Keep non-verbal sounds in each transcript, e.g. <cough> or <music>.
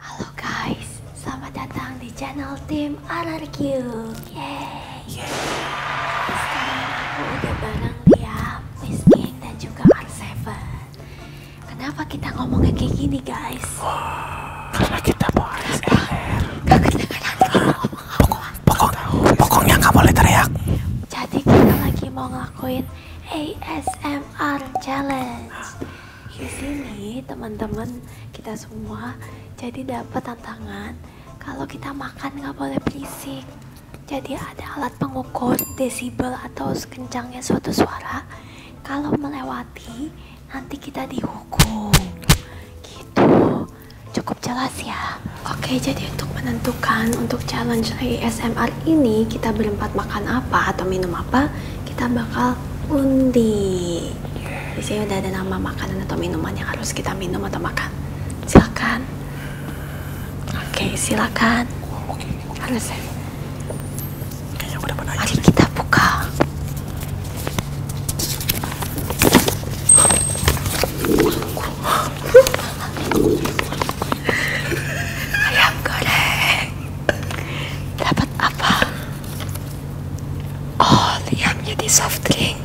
Halo guys, selamat datang di channel tim RRQ. Yeay. Yeay. Sekarang aku udah bareng dan juga Kenapa kita ngomongnya kayak gini, guys? Wah, karena kita mau ASMR. Pokok, pokok, pokoknya nggak boleh teriak. Jadi kita lagi mau ngelakuin ASMR challenge. Di sini teman-teman kita semua jadi dapat tantangan kalau kita makan nggak boleh berisik. Jadi ada alat pengukur desibel atau kencangnya suatu suara. Kalau melewati nanti kita dihukum gitu cukup jelas ya oke jadi untuk menentukan untuk challenge ASMR ini kita berempat makan apa atau minum apa kita bakal undi di sini udah ada nama makanan atau minuman yang harus kita minum atau makan silakan oke silakan oh, harus kita buka. Ayam goreng. Dapat apa? Oh, lihat jadi soft drink.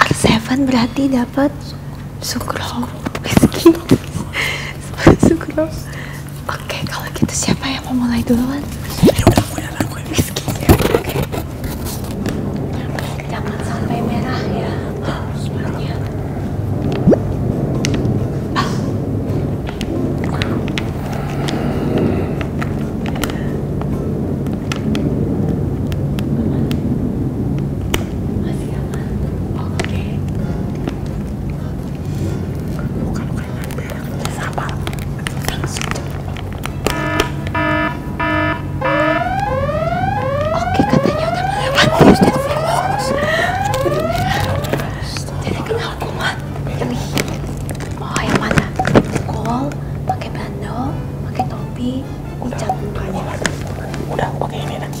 R7 berarti dapat sukro, whisky, sukro. Oke, kalau gitu siapa yang mau mulai duluan? aku oke. Jangan sampai merah ya. Semuanya. Masih aman. Oke oke katanya udah melewati harus jadi virus jadi kena hukuman oh yang mana pukul pakai bandel pakai topi ucap mukanya udah pakai ini nanti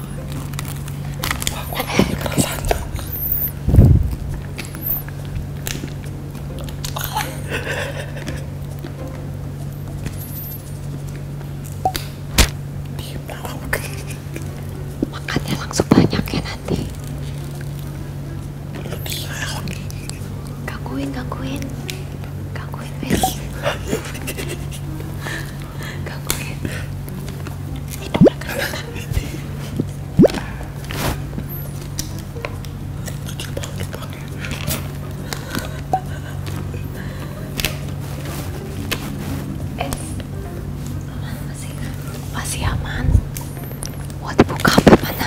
Wah, gua penasaran. Makannya langsung banyak ya nanti. Gangguin, gangguin. Gangguin, wes. Ganggu itu Hidupnya kelihatan. Kecil banget aman masih? Masih aman. Wah dibuka apa mana?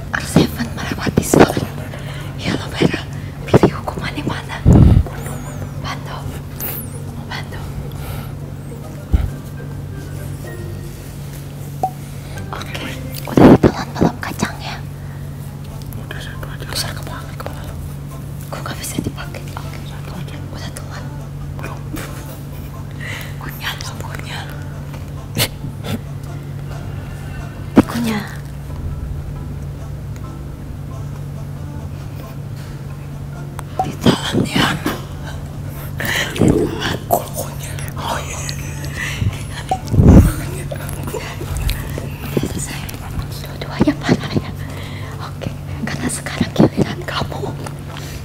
Arseven melewati salin lo merah pilih hukumannya mana bantu bantu oke udah ditelan belum kacangnya udah satu aja besar kepala kepala lo gue gak bisa dipakai oke okay. satu udah telan belum Kunyah dong, kunyah. <laughs> Kunyah. Ditelan ya. Ditelan. Kunyah. Oh iya. Selesai. Dua-duanya parah Oke, karena sekarang giliran kamu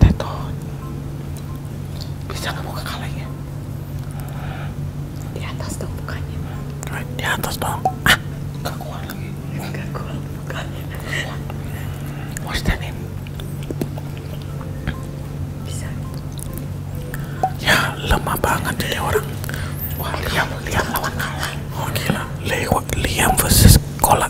Teton bisa ya? di atas dong di atas dong ah lagi ya lemah banget ini orang wah liam liam lawan kalah oh, Liam versus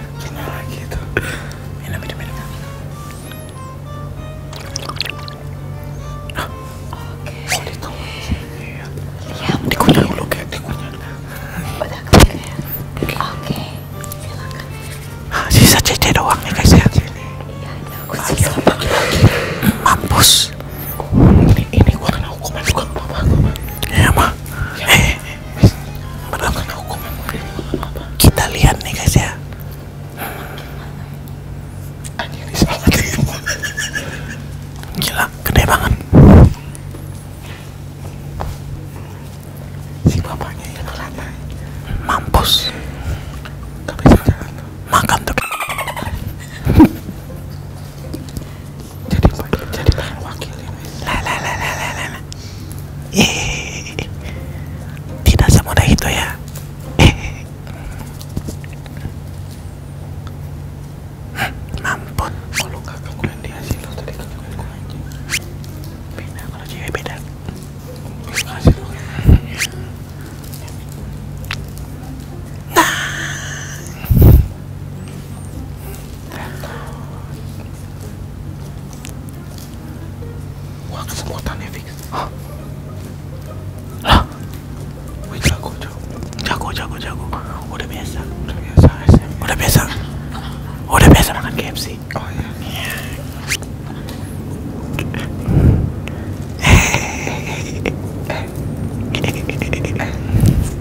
gimana lagi itu minum minum minum oke okay. oh, iya. iya dikunyah kayak dikunyah udah ya? oke okay. silakan ah, sisa cece doang nih guys ya iya ada aku sisa mampus ini ini gua kena hukuman juga apa apa ya mah eh menerapkan hukum kita lihat nih guys ya gila gede banget si bapaknya yang lama mampus makan tuh <laughs> jadi wakil jadi wakilin lah lah lah lah lah lah lah tidak semudah itu ya eh kalau nggak gangguan dia sih lo beda kalau cewek beda Nah. Wah kesemutannya fix. Hah? Hah? Wih jago jago. Jago jago jago. Udah biasa. Udah biasa. SM. Udah biasa. Udah biasa makan KFC. Oh iya. Yeah. Hey. Hey. Hey.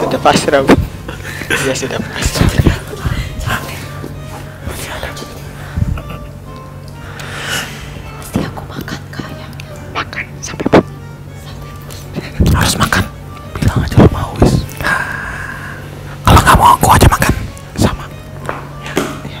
sudah pasrah bu dia sudah pasrah pasti aku makan kayaknya makan sampai bu harus makan bilang aja lo mau wis kalau nggak mau aku aja makan sama ya, ya.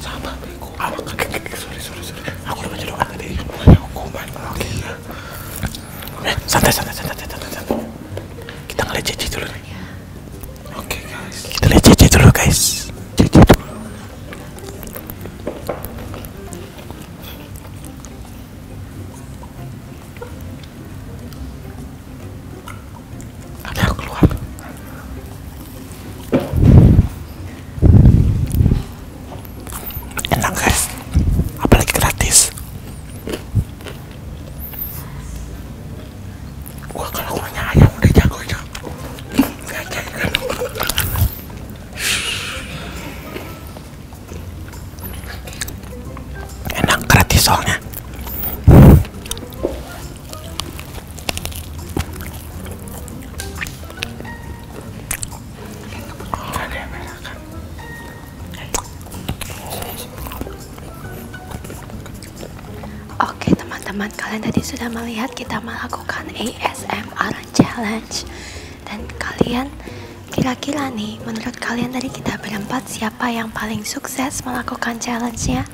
Sama bego. Kan? Sorry, sorry, sorry. Aku baca doa tadi. Bukan hukuman. Oke. Eh, santai, santai, santai, Kita ngeliat Cici dulu Oke, guys. Kita lihat Cici dulu, guys. Ada yang keluar. Enak guys, apalagi gratis. Wah kalau punya ayam udah jagonya. Enak gratis soalnya. Oke teman-teman, kalian tadi sudah melihat kita melakukan ASMR challenge dan kalian kira-kira nih menurut kalian dari kita berempat siapa yang paling sukses melakukan challenge-nya?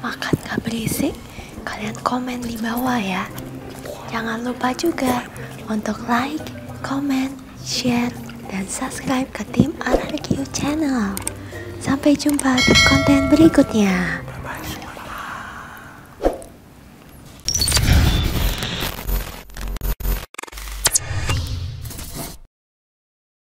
makan gak berisik, kalian komen di bawah ya. Jangan lupa juga untuk like, comment, share, dan subscribe ke tim RRQ channel. Sampai jumpa di konten berikutnya.